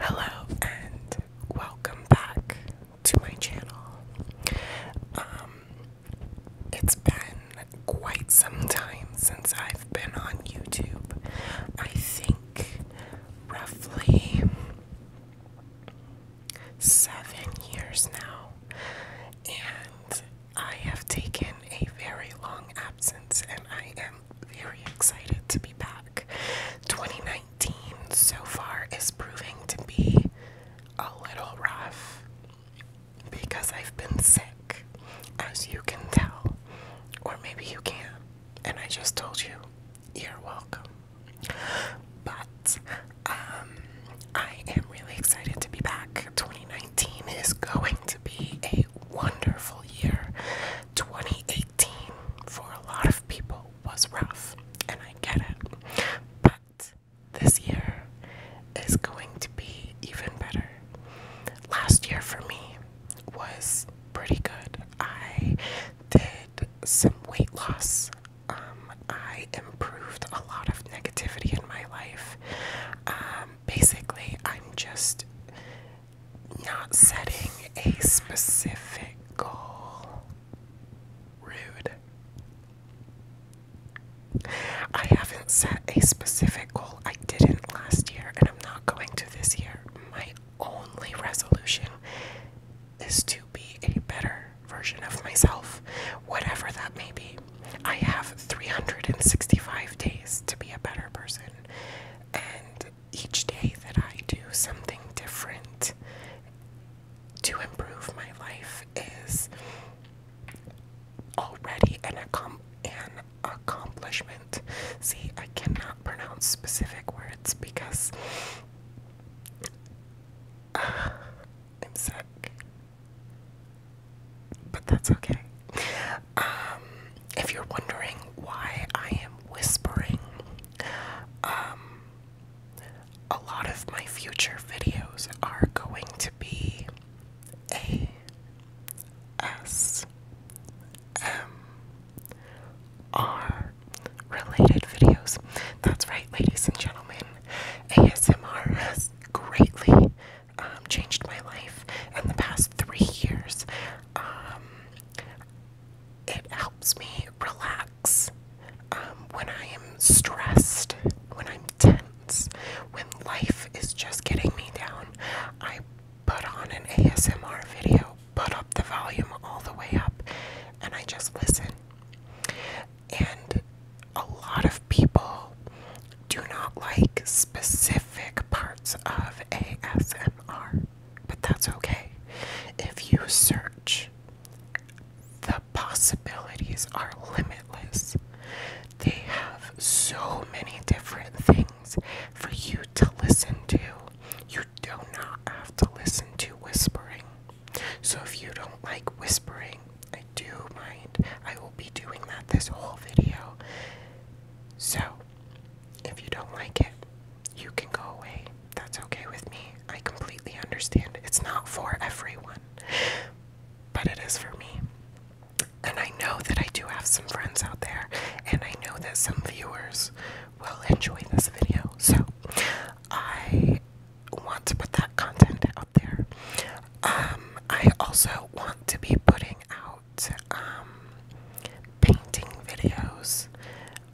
Hello and welcome back to my channel. Um, it's been quite some time since I've been on YouTube. I think roughly seven years now, and I have taken a very long absence, and I am very excited to be back. 2019 so far is proving to be a little rough because I've been sick, as you can tell, or maybe you can't, and I just told you you're welcome. But um, I am really excited to be back. 2019 is going to be a wonderful year. 2018 for a lot of people was rough, and I get it. But this year is going to be even better. Last year for me was pretty good. I did some weight loss. Um, I improved a lot of negativity in my life. Um, basically, I'm just not setting a specific goal. Rude. I haven't set a specific goal. I didn't last year, and I'm not going to this year. My only resolution is to be a better version of myself, whatever that may be. I have 365 days to be a better person. And each day that I do something different to improve my life is already an, accom an accomplishment. See, I cannot pronounce specific words because uh, I'm sick but that's okay. Um, if you're wondering why I am whispering, um, a lot of my future videos are going to be A S M R related videos. That's right, ladies and gentlemen. ASMR has greatly um, changed my life in the past three years. Um, it helps me relax um, when I am stressed, when I'm tense, when life is just getting me down. I put on an ASMR video, put up the volume all the way up, and I just listen. And a lot of people do not like specific parts of ASMR, but that's okay. If you search, the possibilities are limitless. They have so many different things for you to listen to. You do not have to listen to whispering. So if you don't like whispering, I do mind, I will be doing that this whole video. So, if you don't like it, you can go away. That's okay with me. I completely understand. It's not for everyone, but it is for me. And I know that I do have some friends out there, and I know that some viewers will enjoy this video. So, I want to put that content out there. Um, I also want to be putting out um, painting videos.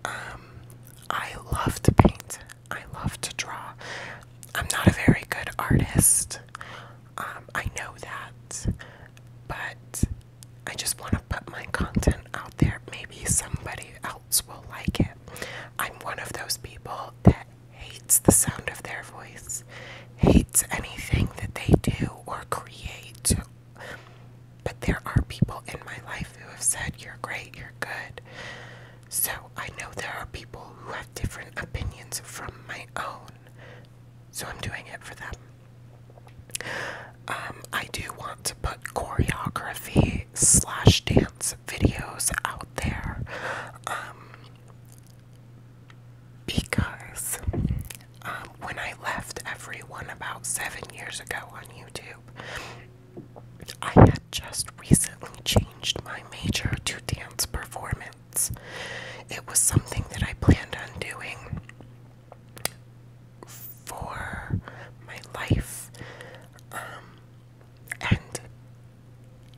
Um, I love to paint. I love to draw. I'm not a very good artist. Um, I know that, but I just want to put my content out there. Maybe somebody else will like it. I'm one of those people that hates the sound of their voice, hates anything that they do or create. But there are people in my life who have said, You're great, you're good. So I know there are people who have different opinions from my own. So I'm doing it for them. Um, I do want to put choreography slash dance videos out there. Um, because um, when I left everyone about seven years ago on YouTube, I had just recently changed my major to dance performance. It was something that I planned on doing for my life. Um, and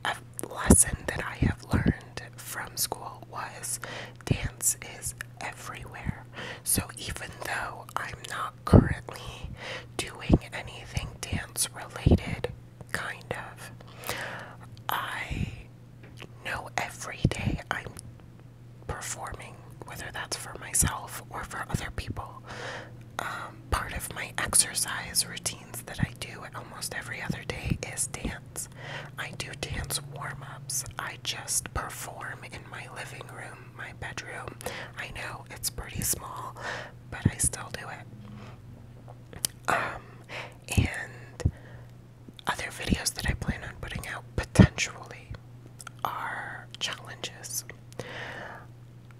a lesson that I have learned from school was dance is everywhere. So even though I'm not currently doing anything dance related, kind of, I know every day I'm performing, whether that's for myself or for other people, um, part of my exercise routines that I do almost every other day is dance. I do dance warm ups. I just perform in my living room, my bedroom. I know it's pretty small, but I still do it. Um, and other videos that I plan on putting out potentially are challenges.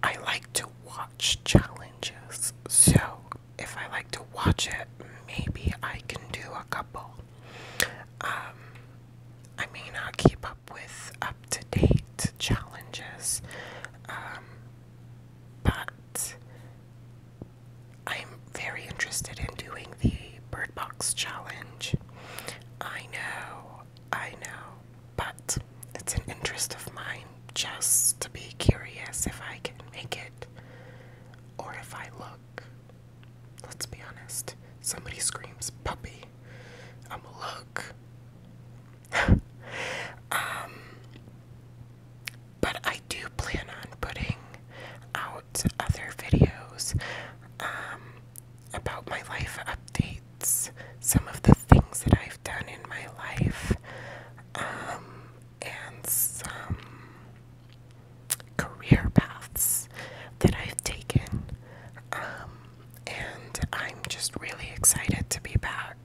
I like to watch challenges. So if I like to watch it, maybe I can do a couple. Um, I may not keep up with up to date challenges, um, but I'm very interested in doing the Bird Box challenge. I know, I know but it's an interest of mine just to be curious if I can make it or if I look. Let's be honest. Somebody screams puppy. I'm a look. um, but I do plan on putting out other videos um, about my life updates some of the things that I've done in my life um, and some career paths that I've taken. Um, and I'm just really excited to be back.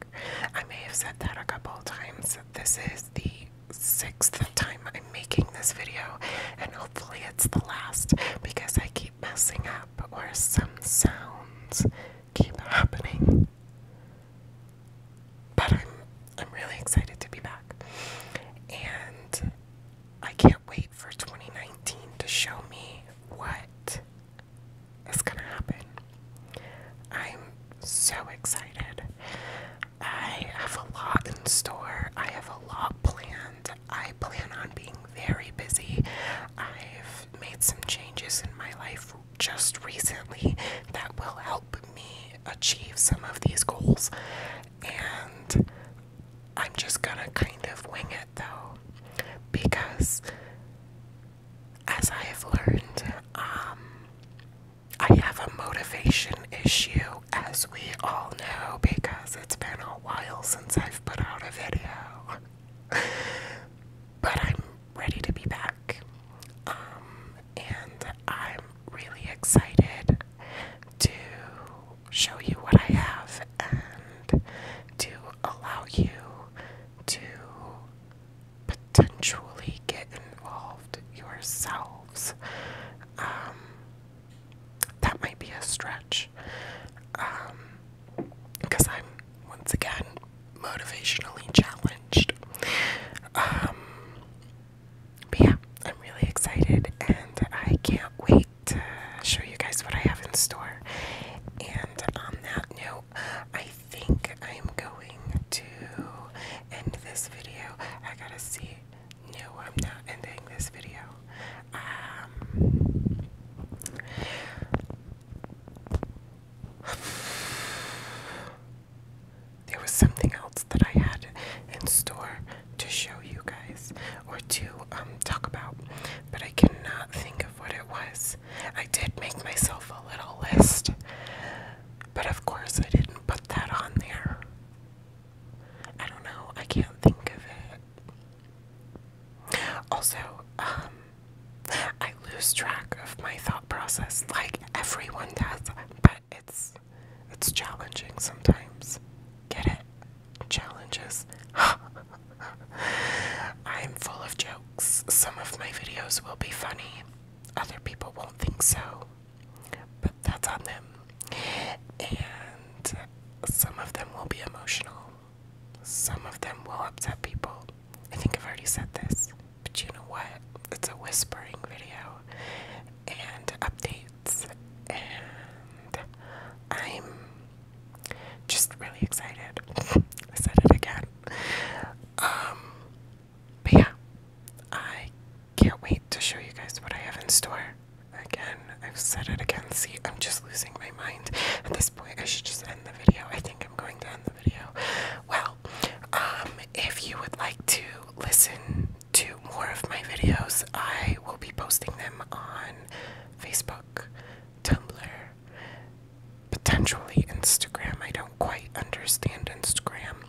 I may have said that a couple of times. This is the sixth time I'm making this video, and hopefully it's the last because I keep messing up or some sounds keep happening. But I'm I'm really excited to be back. And I can't wait for 2019 to show me what is going to happen. I'm so excited. I have a lot in store. I have a lot planned. I plan on being very busy. I've I've made some changes in my life just recently that will help me achieve some of these goals. And I'm just gonna kind of wing it though, because as I have learned, um, I have a motivation issue, as we all know, because it's been a while since I've put out a video. but I'm ready to be back. Um, and I'm really excited to show you what I have and to allow you to potentially get involved yourselves. Um, that might be a stretch. Um, because I'm once again motivationally challenged. Um, but yeah, I'm really excited and I can't wait to show you guys what I have in store. And on that note, I think I'm going to end this video. I gotta see. No, I'm not ending this video. Um, There was something else that I had in store to show you guys or to um, talk about, but I cannot think of what it was. I did make myself a little list, but of course I didn't put that on there. I don't know, I can't think of it. Also, um, I lose track of my thought process like everyone does, but it's it's challenging sometimes. Get it? Challenges. I'm full of jokes. Some of my videos will be funny. Other people won't think so. But that's on them. And some of them will be emotional. Some of them will upset people. I think I've already said this, but you know what? It's a whispering video and updates, and I'm just really excited. I said it again. Um, but yeah, I can't wait to show you guys what I have in store. Again, I've said it again. See, I'm just losing my mind. At this point, I should just end the video. I think I'm going to end the video. Well, um, if you would like to listen to more of my videos, I will be posting them on Facebook, Tumblr, potentially Instagram. I don't quite understand Instagram.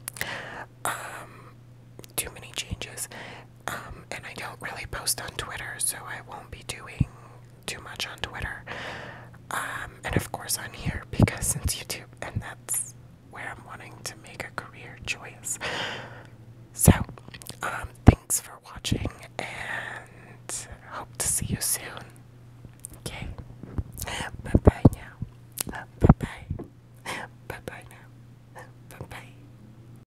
Um, too many changes. Um, and I don't really post on Twitter, so I won't be doing too much on Twitter. Um, and of course on here because since YouTube, and that's where I'm wanting to make a career choice. So, um, thanks for watching, and hope to see you soon. Okay, bye bye now. Bye bye. Bye bye now. Bye bye.